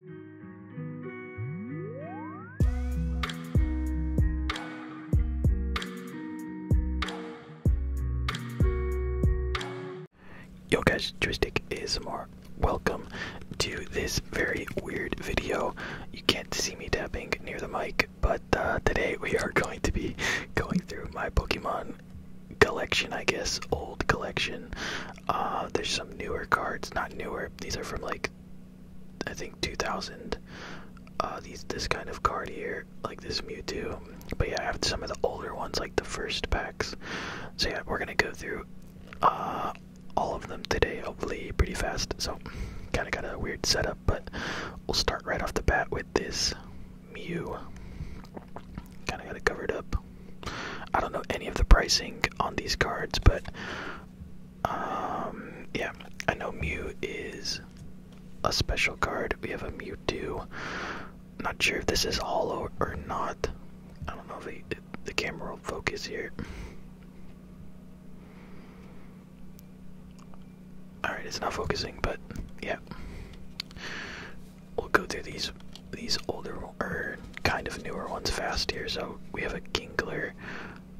Yo guys, Joystick more. Welcome to this very weird video. You can't see me tapping near the mic, but uh, today we are going to be going through my Pokemon collection, I guess, old collection. Uh, there's some newer cards, not newer. These are from like, I think 2000. Uh, these this kind of card here, like this Mewtwo. But yeah, I have some of the older ones, like the first packs. So yeah, we're gonna go through uh, all of them today, hopefully pretty fast. So kind of got a weird setup, but we'll start right off the bat with this Mew. Kind of got it covered up. I don't know any of the pricing on these cards, but um, yeah, I know Mew is a special card. We have a Mewtwo. Not sure if this is hollow or not. I don't know if the camera will focus here. Alright, it's not focusing, but yeah. We'll go through these these older or kind of newer ones fast here. So we have a Ginkler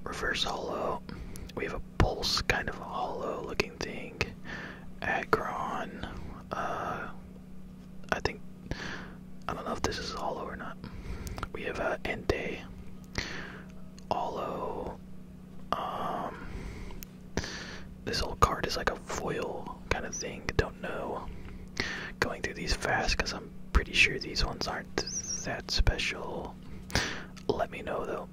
reverse hollow. We have a pulse kind of hollow looking thing. Agron. Uh, I think I don't know if this is hollow or not. We have a Ente. Hollow. Um, this old card is like a foil kind of thing know. Going through these fast because I'm pretty sure these ones aren't that special. Let me know though.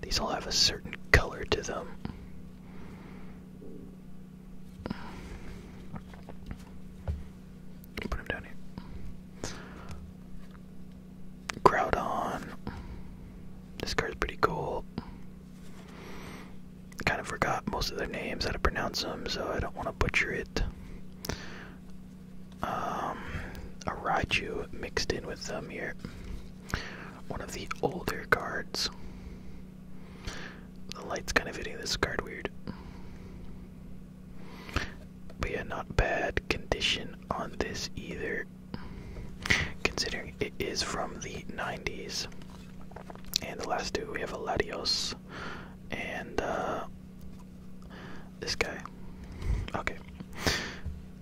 These all have a certain color to them. Put him down here. Groudon. This card's pretty cool. Kind of forgot most of their names, how to pronounce them, so I don't want to butcher it. Um, a Raichu mixed in with some here. One of the older cards. The light's kind of hitting this card weird. But yeah, not bad condition on this either. Considering it is from the 90s. And the last two, we have a Eladios and uh, this guy. Okay.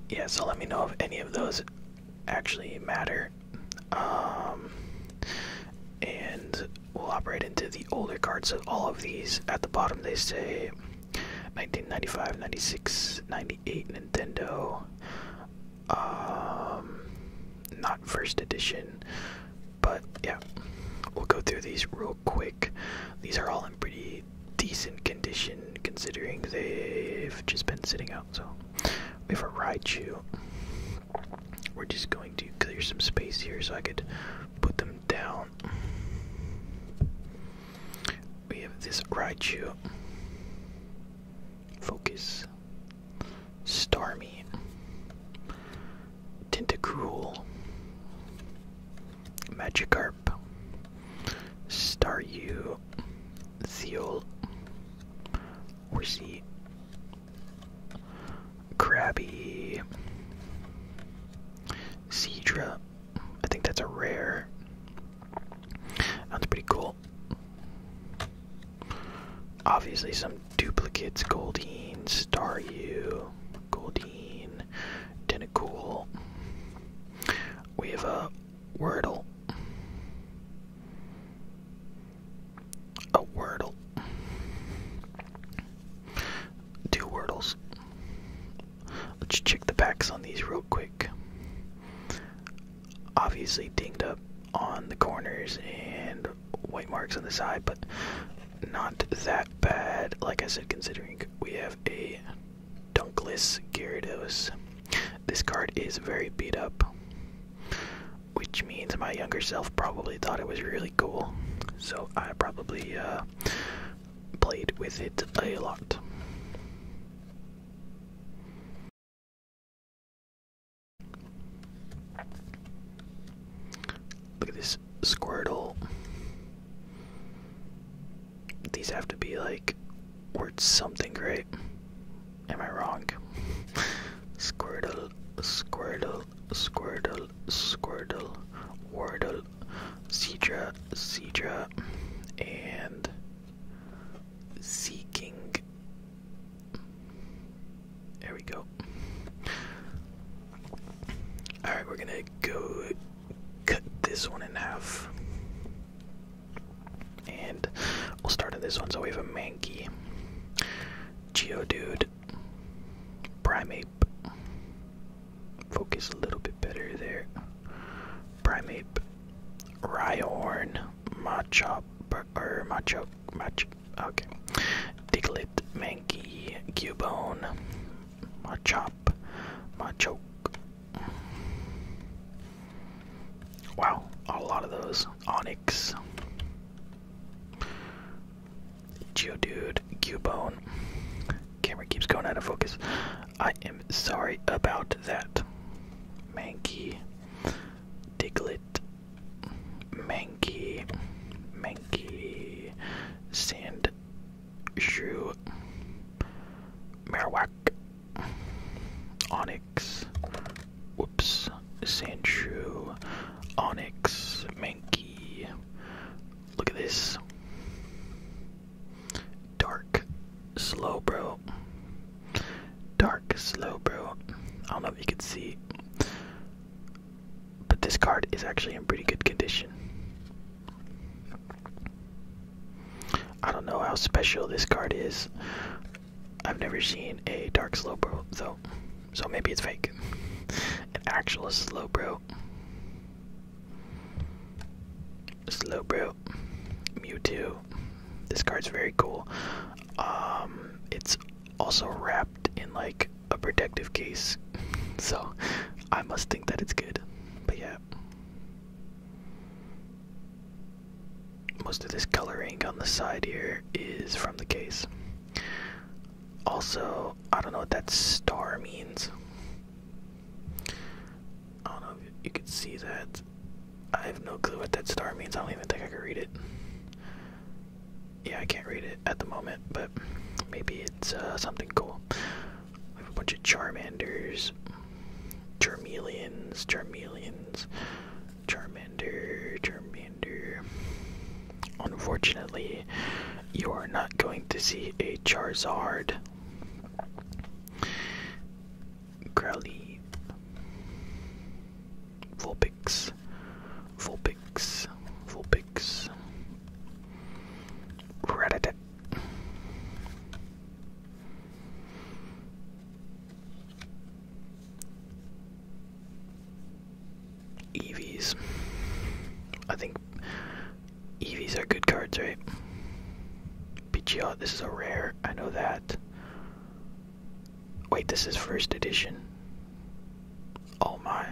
Yeah, so let me know if any of those actually matter. Um, and we'll operate into the older cards of all of these. At the bottom, they say 1995, 96, 90. Eight Nintendo. Um, not first edition, but yeah, we'll go through these real quick. These are all in pretty decent condition considering they've just been sitting out. So we have a Raichu. We're just going to clear some space here so I could put them down. We have this Raichu. Focus. Starmie. Tentacruel. Magikarp. Staryu. Zeal. Horsey. Crabby. Cedra. I think that's a rare. That's pretty cool. Obviously, some duplicates Goldeen, Staryu, Goldeen, Tentacool. We have a Wordle. A Wordle. Two Wordles. Let's check the backs on these real quick. Obviously dinged up on the corners and white marks on the side, but not that bad. Like I said, considering we have a dunkless Gyarados. This card is very beat up, which means my younger self probably thought it was really cool. So I probably uh, played with it a lot. Look at this Squirtle. These have to be like worth something great. Am I wrong? Squirtle, Squirtle, Squirtle, Squirtle, Wordle, Cedra, Cedra, and Seeking. There we go. Alright, we're gonna go cut this one in half. And we'll start on this one. So we have a Mankey, Geodude, Primeape, focus a little bit better there. Primeape, Rhyhorn, Machop, or Macho, Mach, okay. Diglett, Mankey, Cubone, Machop, Machoke. Wow, a lot of those. Onyx, Geodude, Cubone. Camera keeps going out of focus. I am sorry about that. Mankey, Diglett, Mankey, Mankey, Sand, Marowak, Onyx, whoops, Sand Shrew, Mankey. Look at this. Dark slow bro. Dark slow bro. I don't know if you can see. But this card is actually in pretty good condition. I don't know how special this card is. I've never seen a dark Slowbro, though. So maybe it's fake. An actual slow bro. Slowbro, Mewtwo. This card's very cool. Um, it's also wrapped in like a protective case, so I must think that it's good. But yeah, most of this coloring on the side here is from the case. Also, I don't know what that star means. I don't know if you could see that. I have no clue what that star means. I don't even think I can read it. Yeah, I can't read it at the moment, but maybe it's uh, something cool. We have a bunch of Charmanders, Charmeleons, Charmeleons, Charmander, Charmander. Unfortunately, you are not going to see a Charizard. Growly, Vulpix, Vulpix, Vulpix, Ratatat. Eevees. I think Eevees are good cards, right? Pidgeot, this is a rare. I know that. Wait, this is first edition. Oh my.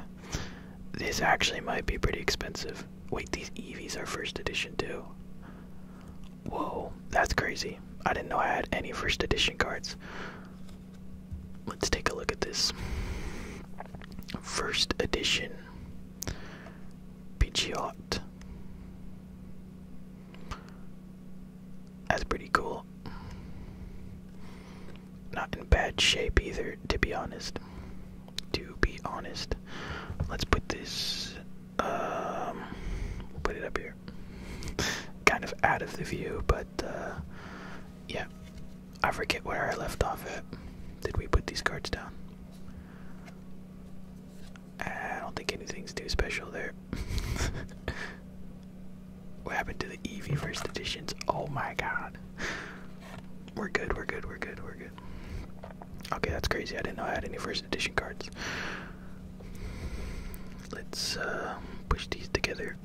This actually might be pretty expensive. Wait, these Eevees are first edition too. Whoa, that's crazy. I didn't know I had any first edition cards. Let's take a look at this. First edition. Pidgeot. That's pretty cool. Not in bad shape either, to be honest. To be honest. Let's put this um put it up here. kind of out of the view, but uh yeah. I forget where I left off at. Did we put these cards down? I don't think anything's too special there. what happened to the EV first editions? Oh my god. We're good, we're good, we're good, we're good. Okay, that's crazy. I didn't know I had any first edition cards. Let's uh, push these together.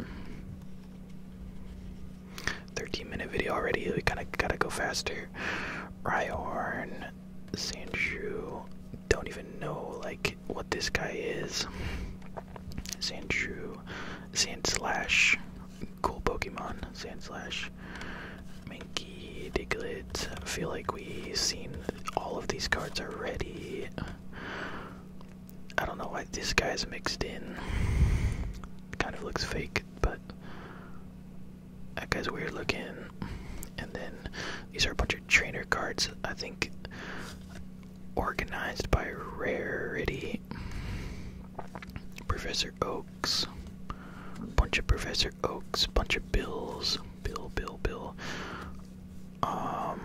13 minute video already. We gotta gotta go faster here. Rhyhorn, Sandshrew, don't even know like what this guy is. Sandshrew, Slash. cool Pokemon, Slash. Mankey, Diglett. feel like we've seen all of these cards already. I don't know why this guy's mixed in. Kind of looks fake, but that guy's weird looking. And then these are a bunch of trainer cards, I think organized by rarity. Professor Oaks. Bunch of Professor Oaks, bunch of bills. Bill, Bill, Bill. Um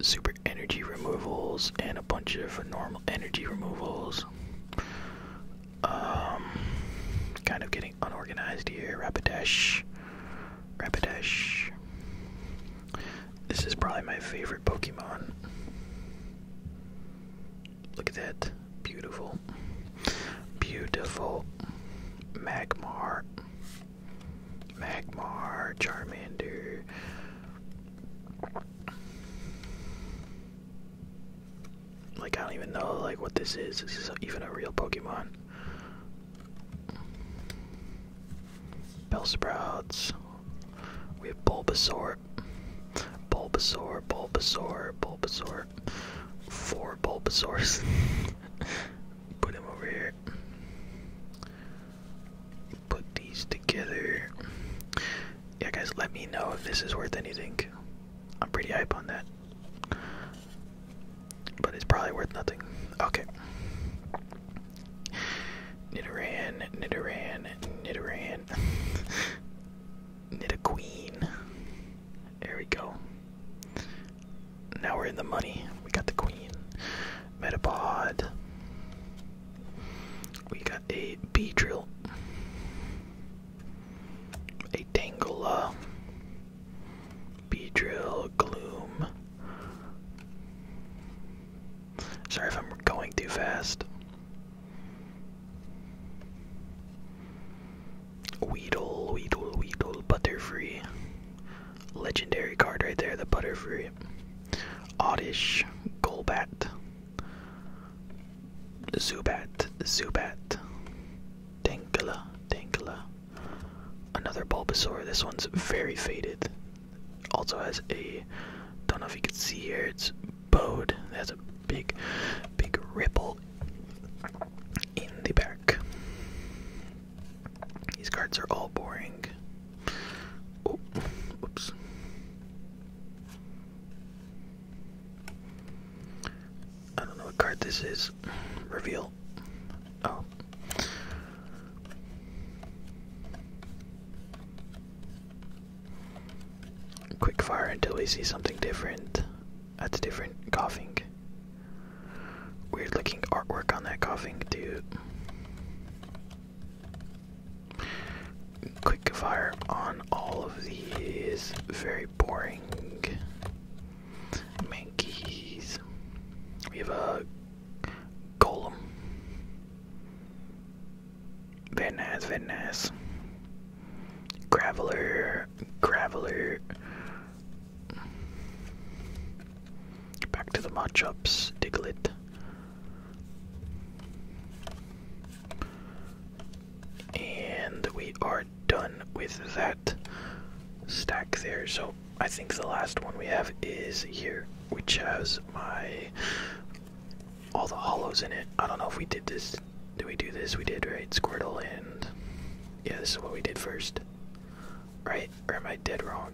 super energy removals and a bunch of normal energy removals um, kind of getting unorganized here. Rapidash, Rapidash. This is probably my favorite Pokemon. Look at that. Beautiful. Beautiful. Magmar. Magmar. Charmander. Like I don't even know like what this is. This is even a real Pokemon. Bell Sprouts. We have Bulbasaur. Bulbasaur, Bulbasaur, Bulbasaur. Four Bulbasaur. Put him over here. Put these together yeah, guys, let me know if this is worth anything. I'm pretty hype on that. But it's probably worth nothing. Okay. Nidoran, Nidoran, Nidoran. Nidoqueen. There we go. Now we're in the money. We got the queen. Metapod. We got a drill a Tangela, Beedrill, Gloom. Sorry if I'm going too fast. Weedle, Weedle, Weedle, Butterfree. Legendary card right there, the Butterfree. Oddish, Golbat, Zubat, Zubat, Dankula, Dankula. Another Bulbasaur. This one's very faded. Also has a, don't know if you can see here, it's bowed. It has a big, big ripple in the back. These cards are all boring. Oh, oops. I don't know what card this is. Reveal. Oh. Quick fire until we see something different. That's different. Coughing. Weird looking artwork on that coughing dude quick fire on all of these very boring monkeys. We have a golem. Very nice, very nice. Graveler, Graveler. Back to the matchups, Diglett. And we are done with that stack there. So I think the last one we have is here, which has my all the hollows in it. I don't know if we did this. Did we do this? We did, right? Squirtle and yeah, this is what we did first, right? Or am I dead wrong?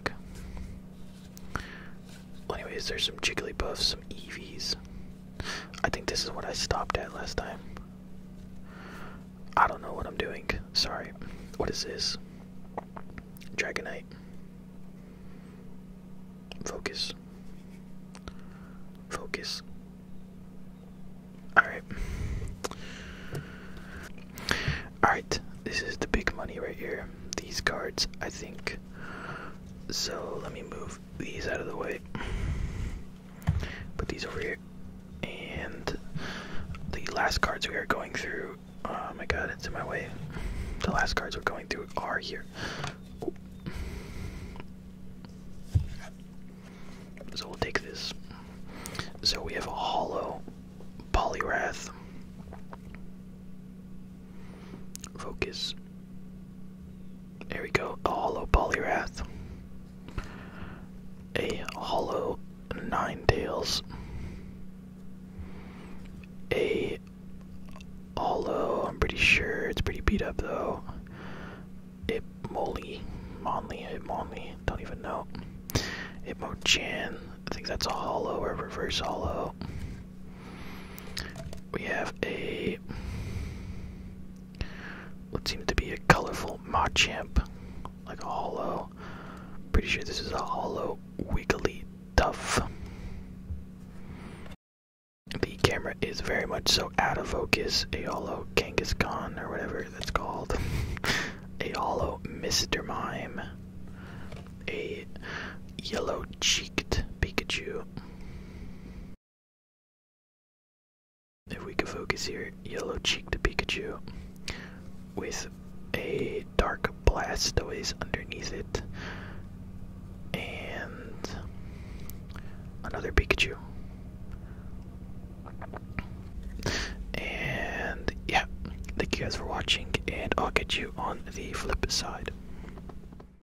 Well, anyways, there's some Jigglypuff, some Eevees, I think this is what I stopped at last time. I don't know what I'm doing. Sorry. What is this? Dragonite. Focus. Focus. Alright. Alright, this is the big money right here. These cards, I think. So let me move these out of the way. Put these over here. And the last cards we are going through. Oh my god, it's in my way. The last cards we're going through are here. So we'll take this. So we have a hollow, Polyrath, Focus, there we go. A hollow Poliwrath. A hollow Nine Tails. A hollow, I'm pretty sure it's pretty beat up though. It Molly, Monly, it Monly, don't even know. It Mochan, I think that's a hollow or reverse hollow. We have a what seems to be a colorful Machamp, like a hollow. Pretty sure this is a hollow wiggly duff. The camera is very much so out of focus. A hollow Kangaskhan or whatever that's called. a hollow Mr. Mime. A yellow cheeked Pikachu. If we could focus here, yellow cheeked Pikachu with a dark blastoise underneath it. And another Pikachu. And yeah, thank you guys for watching, and I'll get you on the flip side.